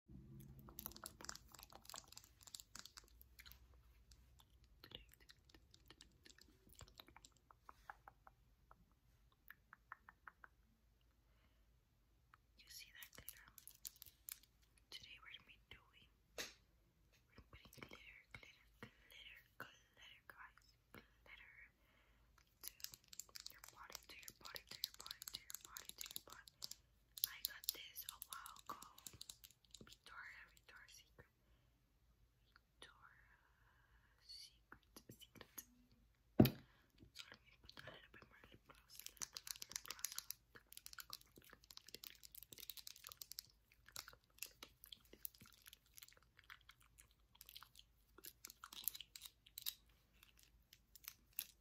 You see that glitter? Today we're gonna be doing, putting glitter, glitter, glitter, glitter, guys, glitter to your body, to your body, to your body, to your body, to your body. I got this a while ago. Victoria, Victoria's Secret. Victoria's Secret. Secret. So let me put a little bit more lip gloss. Lip gloss, lip gloss. I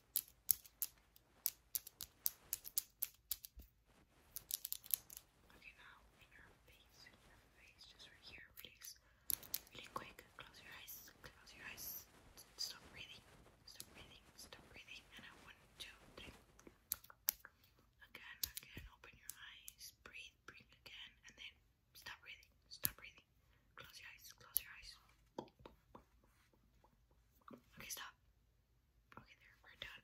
Okay, now in face, in face, just right here, release. Really quick, close your eyes, close your eyes. Stop breathing, stop breathing, stop breathing. And I one, two, three. Again, again, open your eyes, breathe, breathe again, and then stop breathing, stop breathing. Close your eyes. Close your eyes. Okay, stop. Okay, there. We're done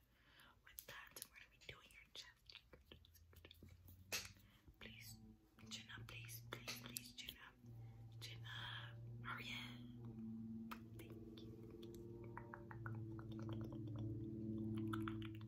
with that. So are going doing your chest. Please, chin up. Please, please, please, chin up. Chin up. Hurry up. Thank you.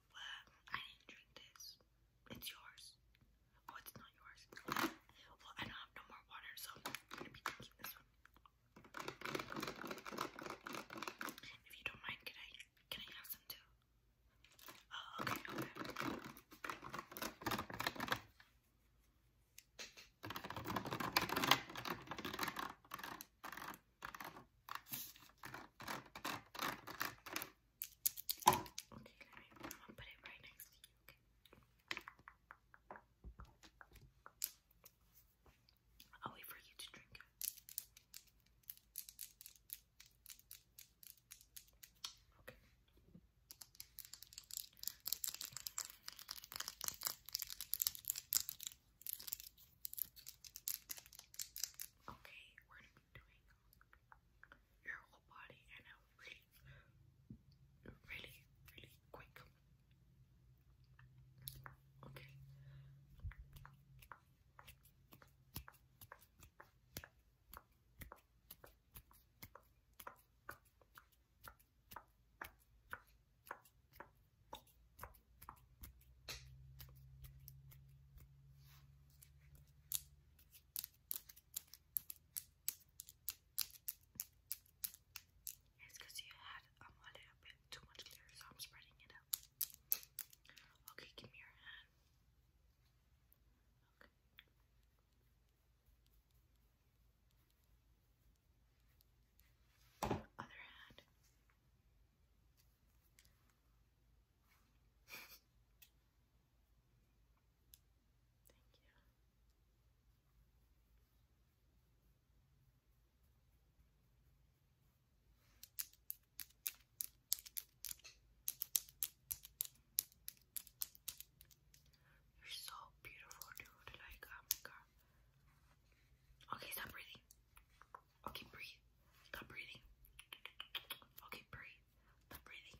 I didn't drink this. It's yours. Oh, it's not yours. Well, I don't have no more water, so I'm gonna be drinking this If you don't mind, can I can I have some too? Oh, okay, okay. I'm gonna put it right next to you, okay? I'll wait for you to drink it. Okay. Okay. Okay, we're gonna be doing your whole body and a really, really, really quick. Okay. Okay. It's because you had um, a little bit too much glitter, so I'm spreading it out. Okay, give me your hand. Okay. Other hand. Thank you. You're so beautiful, dude. Like, oh Okay, stop breathing. Okay, breathe. Stop breathing. Okay, breathe. Stop breathing.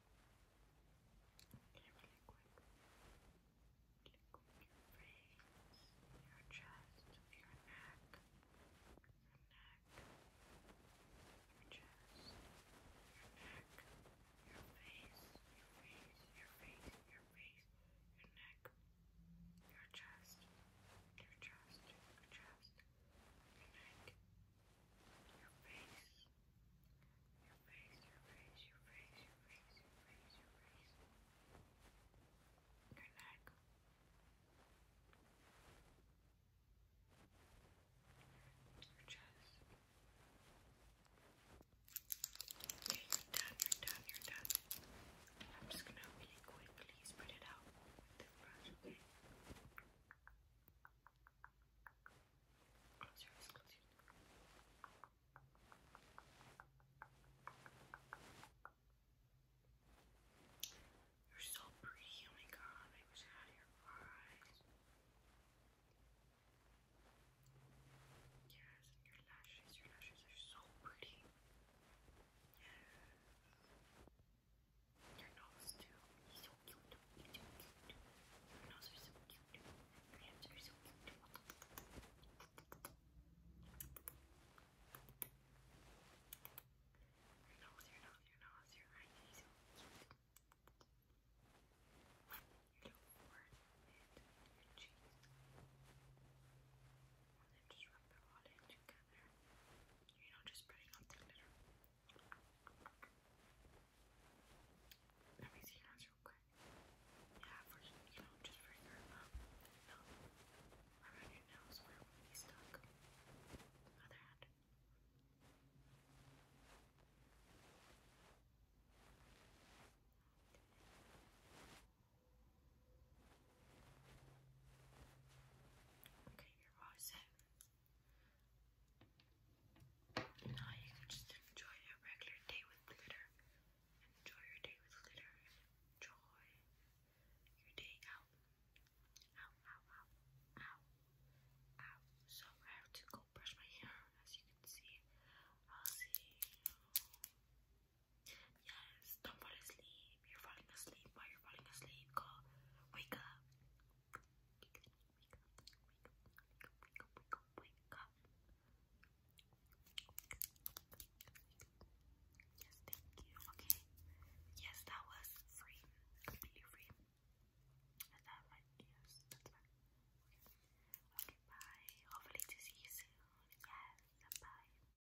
Okay, really quick. Really quick your your chest, your neck, your neck, your chest, your neck, your face, your face, your face, your face, your neck, your chest, your chest, your chest, your neck, your face. Your face, your face, your face, your face, your face, your face. Your neck. Your chest. Okay, you're done, you're done, you're done. I'm just gonna really quickly spread it out with the brush, okay? Service You're so pretty, oh my god, I wish I had your eyes. Yes, and your lashes, your lashes are so pretty. Yes. Your nose too. He's so cute. He's so cute. Your nose is so cute. Your hands are so cute. Your nose, your nose, your nose, your eye is so cute. Your little forehead and your cheeks. And then just rub it all in together you know, just spreading out the glitter. Let me see your eyes real quick. Yeah, for you know, just for your um, around your nose where it will be stuck. Other hand. Okay, you're Now you can just enjoy your regular day with glitter. Enjoy your day with glitter. Enjoy your day out. Ow, ow, ow, ow, ow. So I have to go brush my hair, as you can see. I'll see you Yes, don't fall asleep. You're falling asleep while you're falling asleep. Go, wake up. Wake up, wake up, wake up, wake up, wake up, wake up. Yes, thank you. Okay. Yes, that was free. Completely free. And that might yes, that's fine. Okay. Okay, bye. Hopefully to see you soon. Yes, bye.